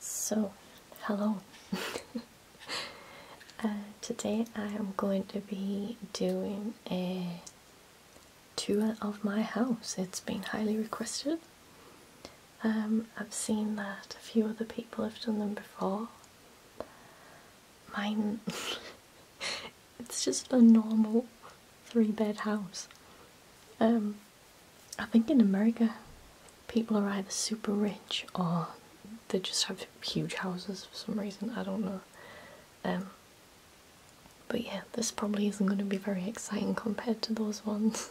So, hello. Uh, today I am going to be doing a tour of my house. It's been highly requested. Um, I've seen that a few other people have done them before. Mine it's just a normal three bed house. Um, I think in America, people are either super rich or they just have huge houses for some reason. I don't know. Um, but yeah, this probably isn't going to be very exciting compared to those ones.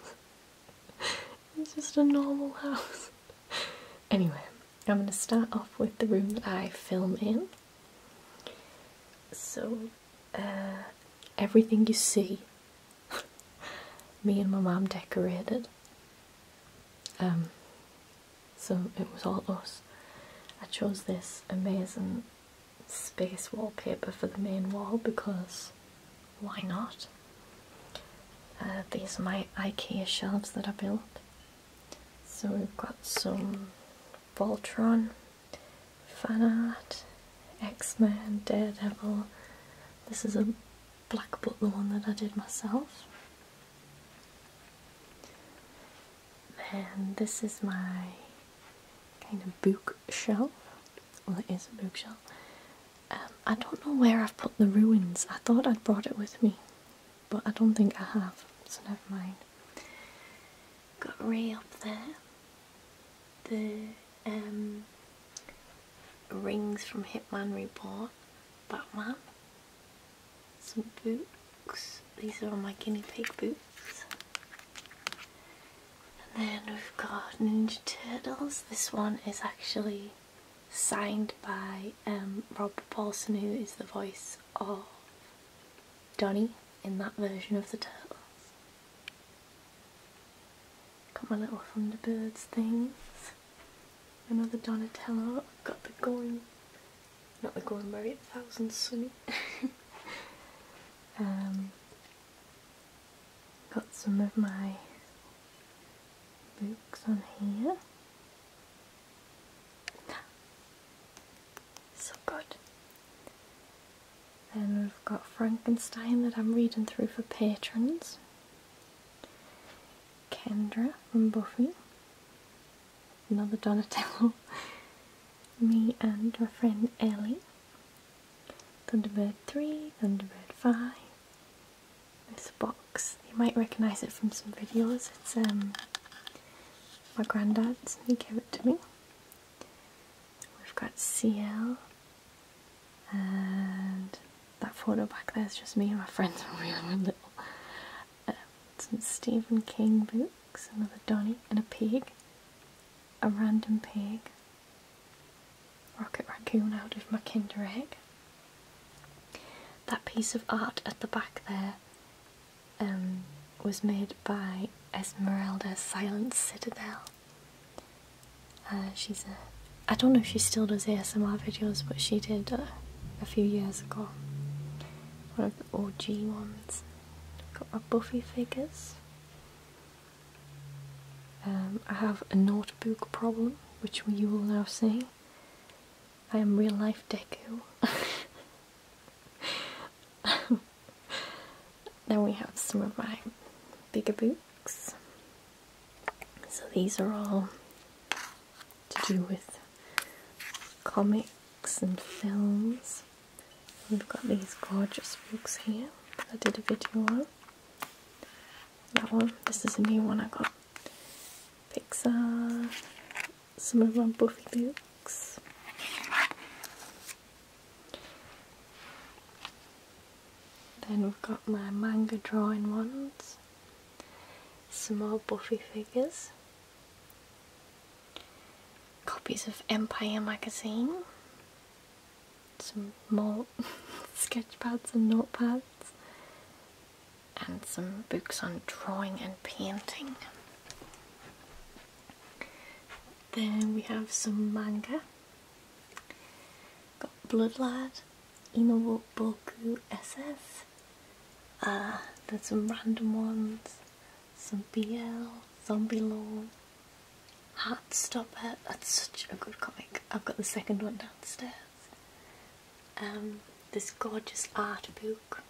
it's just a normal house. anyway. I'm going to start off with the room that I film in. So, uh, everything you see, me and my mom decorated. Um, so it was all us. I chose this amazing space wallpaper for the main wall because why not? Uh, these are my IKEA shelves that I built. So we've got some Voltron, fan art, X-Men, Daredevil. This is a Black Butler one that I did myself. Then this is my kind of bookshelf. Well, it is a bookshelf. Um, I don't know where I've put the ruins. I thought I'd brought it with me, but I don't think I have, so never mind. Got Ray up there. The um, rings from Hitman Reborn, Batman, some boots. These are my guinea pig boots. And then we've got Ninja Turtles. This one is actually signed by um, Rob Paulson, who is the voice of Donny in that version of the turtle. Got my little Thunderbirds things. Another Donatello. got the going, not the going berry, the thousand sunny. Um, got some of my books on here. So good. Then we've got Frankenstein that I'm reading through for patrons. Kendra from Buffy. Another Donatello. Me and my friend Ellie. Thunderbird 3, Thunderbird 5, this box, you might recognise it from some videos. It's um, my granddad's. He gave it to me. We've got CL, and that photo back there is just me and my friends when we were little. Um, some Stephen King books, another Donnie and a pig. A random pig. Rocket raccoon out of my Kinder egg. That piece of art at the back there um, was made by Esmeralda Silent Citadel. Uh, she's a, I don't know if she still does ASMR videos, but she did uh, a few years ago. One of the OG ones. Got my Buffy figures. Um, I have a notebook problem, which you will now see. I am real life Deku. then we have some of my bigger books. So these are all to do with comics and films. We've got these gorgeous books here I did a video on that one. This is a new one I got. Pixar. Some of my Buffy books. Then we've got my manga drawing ones. Some more Buffy figures. Copies of Empire magazine some more sketch pads and notepads, and some books on drawing and painting. Then we have some manga. Got Bloodlad, Inowo Boku SS. Uh, there's some random ones, some BL, Zombie Law, Heartstopper. That's such a good comic. I've got the second one downstairs. Um, this gorgeous art book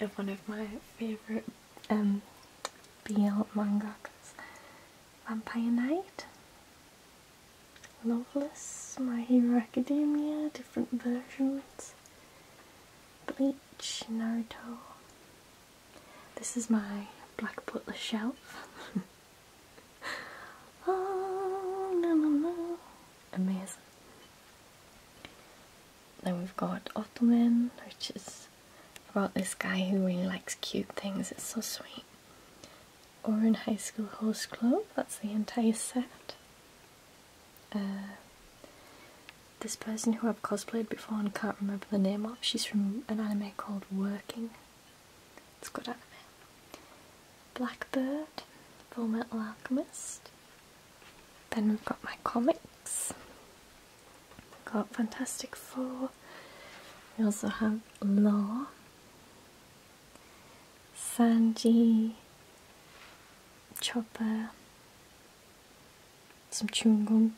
of one of my favourite um, BL mangakas, Vampire Knight, Loveless, My Hero Academia, different versions, Bleach, Naruto. This is my Black Butler shelf. oh, Amazing. Then we've got Ottoman, which is about this guy who really likes cute things. It's so sweet. Oran High School Host Club, that's the entire set. Uh, this person who I've cosplayed before and can't remember the name of, she's from an anime called Working. It's a anime. Blackbird, Full Metal Alchemist. Then we've got my comics. got Fantastic Four. We also have Law. Sanji, Chopper, some chewing gum,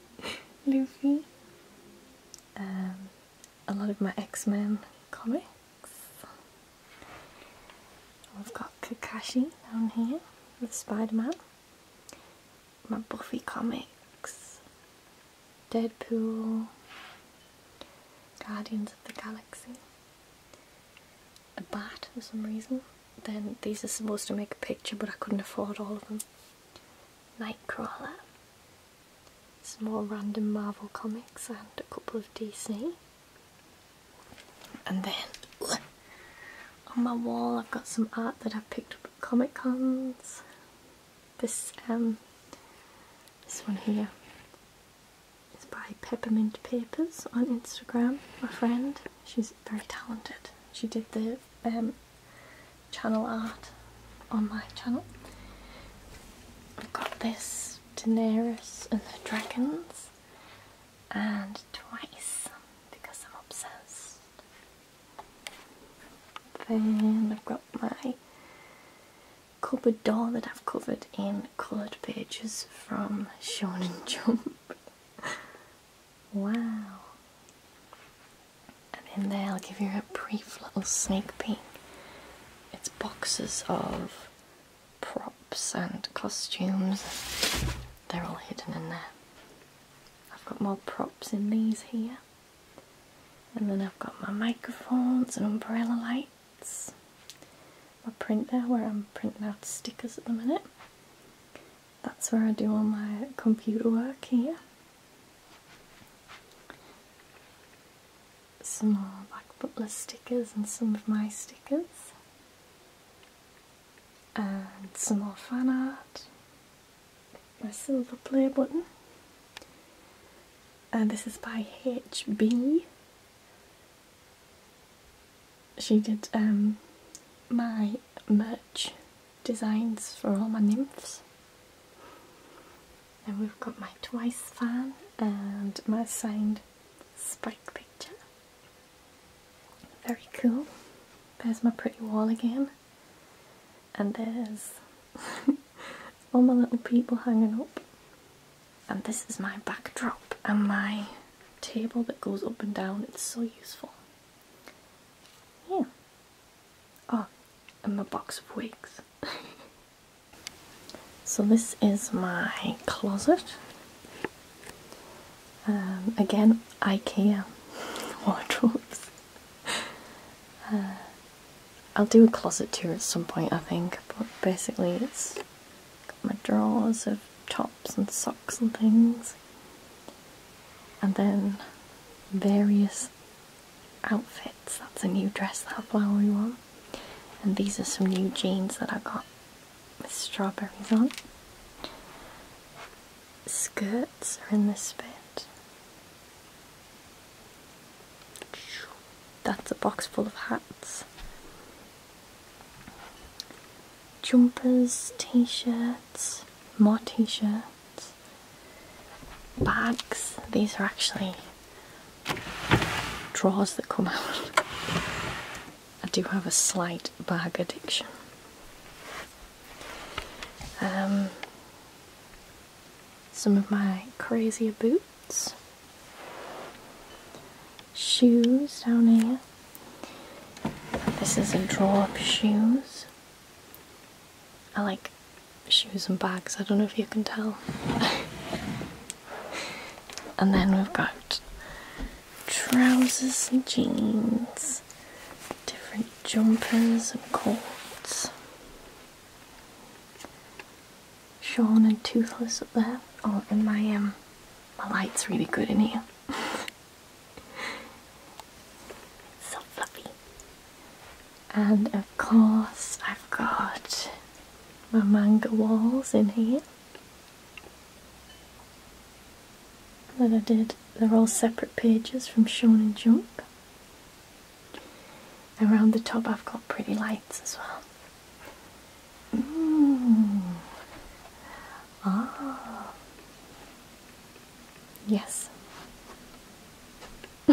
Luffy, um, a lot of my X-Men comics. I've got Kakashi down here with Spider-Man. My Buffy comics. Deadpool. Guardians of the Galaxy. A bat for some reason. Then these are supposed to make a picture but I couldn't afford all of them. Nightcrawler, some more random Marvel comics and a couple of DC. And then on my wall I've got some art that I've picked up at Comic Cons. This um this one here is by Peppermint Papers on Instagram, my friend. She's very talented. She did the um, channel art on my channel. I've got this Daenerys and the Dragons and twice because I'm obsessed. Then I've got my cupboard door that I've covered in coloured pages from Shonen Jump. Wow. And then there, I'll give you a brief little sneak peek. It's boxes of props and costumes. They're all hidden in there. I've got more props in these here. And then I've got my microphones and umbrella lights. My printer where I'm printing out stickers at the minute that's where I do all my computer work here. Some more Black Butler stickers and some of my stickers. And some more fan art. My silver play button. And uh, this is by HB. She did um, my merch designs for all my nymphs. And we've got my Twice fan and my signed Spike picture. Very cool. There's my pretty wall again. And there's all my little people hanging up. And this is my backdrop and my table that goes up and down. It's so useful. Yeah. Oh, and a box of wigs. so this is my closet. Um, again, IKEA wardrobes. Uh, I'll do a closet tour at some point, I think. But basically, it's got my drawers of top tops and socks and things, and then various outfits. That's a new dress, that flowery one. And these are some new jeans that I got with strawberries on. Skirts are in this bit. That's a box full of hats jumpers, t shirts, more t shirts, bags. These are actually drawers that come out. I do have a slight bag addiction. Um, some of my crazier boots, shoes down here. This is a drawer of shoes. I like shoes and bags, I don't know if you can tell. and then we've got trousers and jeans, different jumpers and coats. Sean and Toothless up there. Oh, and my um, my light's really good in here. so fluffy. And of course, I've got my manga walls in here that I did. They're all separate pages from Shonen Jump. Around the top, I've got pretty lights as well. Mm. Ah. Yes.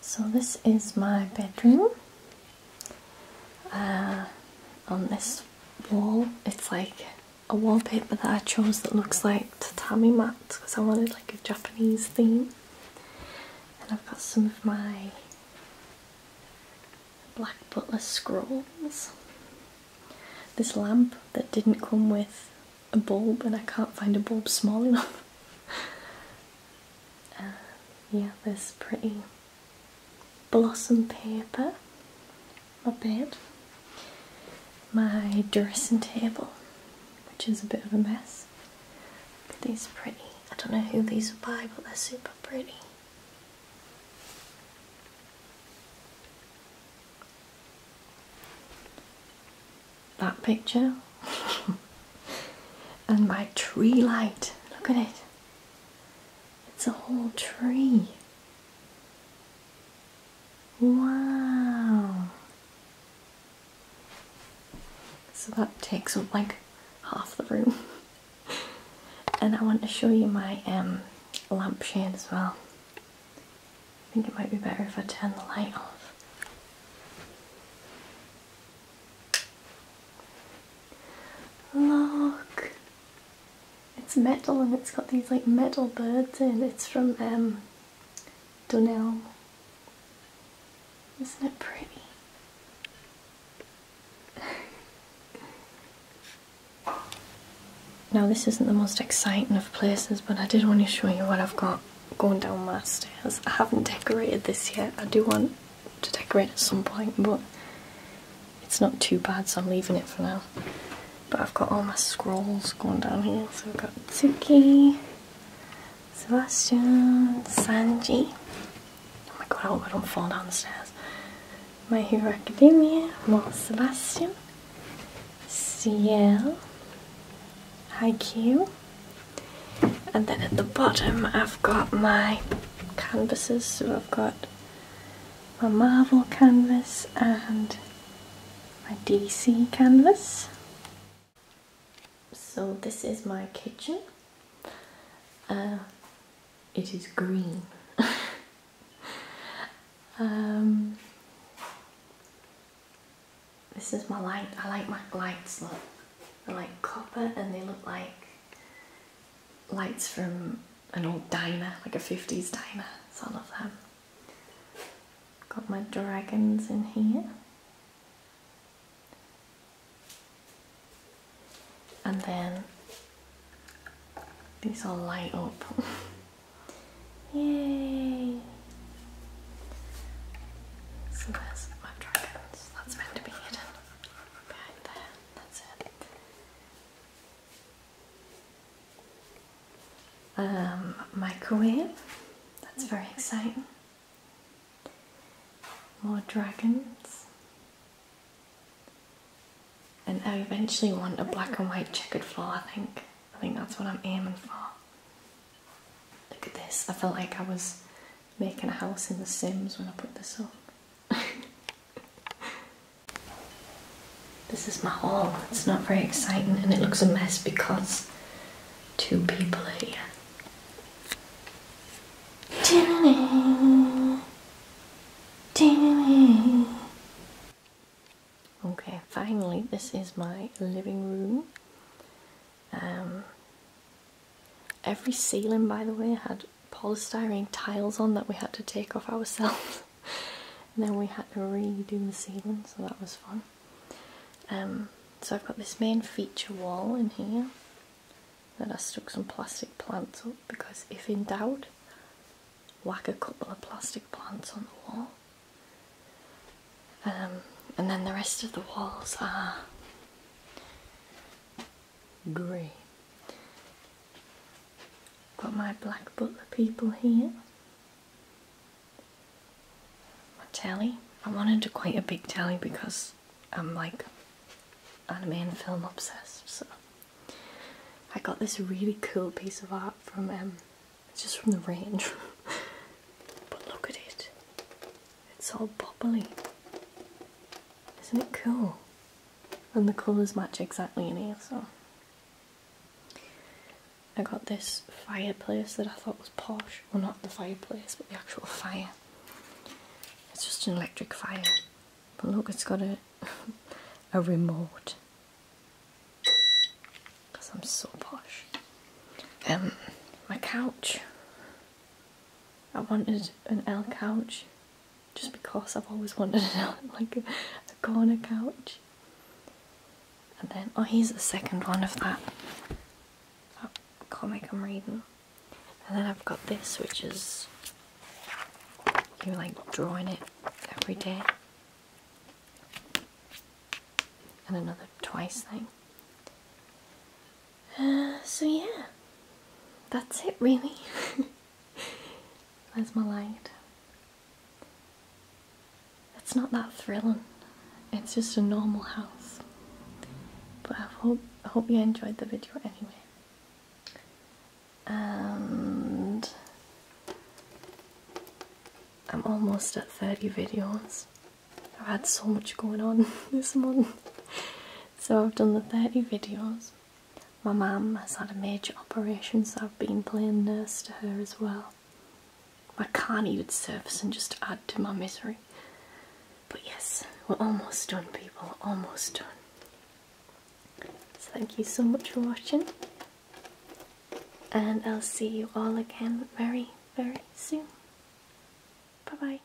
so this is my bedroom. Uh, on this wall, it's like a wallpaper that I chose that looks like tatami mats because I wanted like a Japanese theme. And I've got some of my black butler scrolls. This lamp that didn't come with a bulb, and I can't find a bulb small enough. Uh, yeah, this pretty blossom paper. My bed. My dressing table, which is a bit of a mess. These are pretty. I don't know who these are by, but they're super pretty. That picture and my tree light. Look at it. It's a whole tree. Wow. So that takes up like half the room. and I want to show you my um, lampshade as well. I think it might be better if I turn the light off. Look! It's metal and it's got these like metal birds in. It's from um, Isn't it pretty? Now this isn't the most exciting of places but I did want to show you what I've got going down my stairs. I haven't decorated this yet. I do want to decorate at some point but it's not too bad so I'm leaving it for now. But I've got all my scrolls going down here. So I've got Tsuki, Sebastian, Sanji. Oh my god, I hope I don't fall down the stairs. My Hero Academia, Moss Sebastian, CL, Haikyuu. And then at the bottom I've got my canvases, so I've got my Marvel canvas and my DC canvas. So this is my kitchen. Uh, it is green. Um, this is my light. I like my lights. they're like copper, and they look like lights from an old diner, like a fifties diner. I love them. Got my dragons in here and then these all light up. Yay! So there's my dragons. That's meant to be there. That's it. microwave. Um, That's very exciting more dragons. And I eventually want a black and white checkered floor, I think. I think that's what I'm aiming for. Look at this. I felt like I was making a house in The Sims when I put this up. this is my hall. It's not very exciting and it looks a mess because two people are here. Okay, finally, this is my living room. Um, every ceiling, by the way, had polystyrene tiles on that we had to take off ourselves. and then we had to redo the ceiling, so that was fun. Um, so I've got this main feature wall in here. Then I stuck some plastic plants up because if in doubt, whack a couple of plastic plants on the wall. Um, and then the rest of the walls are grey. Got my black butler people here my tally. I wanted to quite a big tally because I'm like anime and film obsessed. So I got this really cool piece of art from um, just from the range. but look at it. It's all bubbly. Isn't it cool? And the colours match exactly in here, so I got this fireplace that I thought was was posh. Well, not the fireplace, but the actual fire. It's just an electric fire. But look, it's got a, a remote. Because I'm so posh. Um, my couch. I wanted an L couch. Just because I've always wanted an L, like a, corner couch. And then, oh, here's the second one of That comic I'm reading. And then I've got this, which is you like drawing it every day. And another twice thing. Uh, so yeah, that's it really. There's my light it's not that thrilling. It's just a normal house. But I hope I hope you enjoyed the video anyway. And I'm almost at 30 videos. I've had so much going on this month. So I've done the 30 videos. My mum has had a major operation so I've been playing nurse to her as well. I can't eat its surface and just add to my misery. But yes, we're almost done, people. Almost done. So thank you so much for watching, and I'll see you all again very, very soon. Bye bye.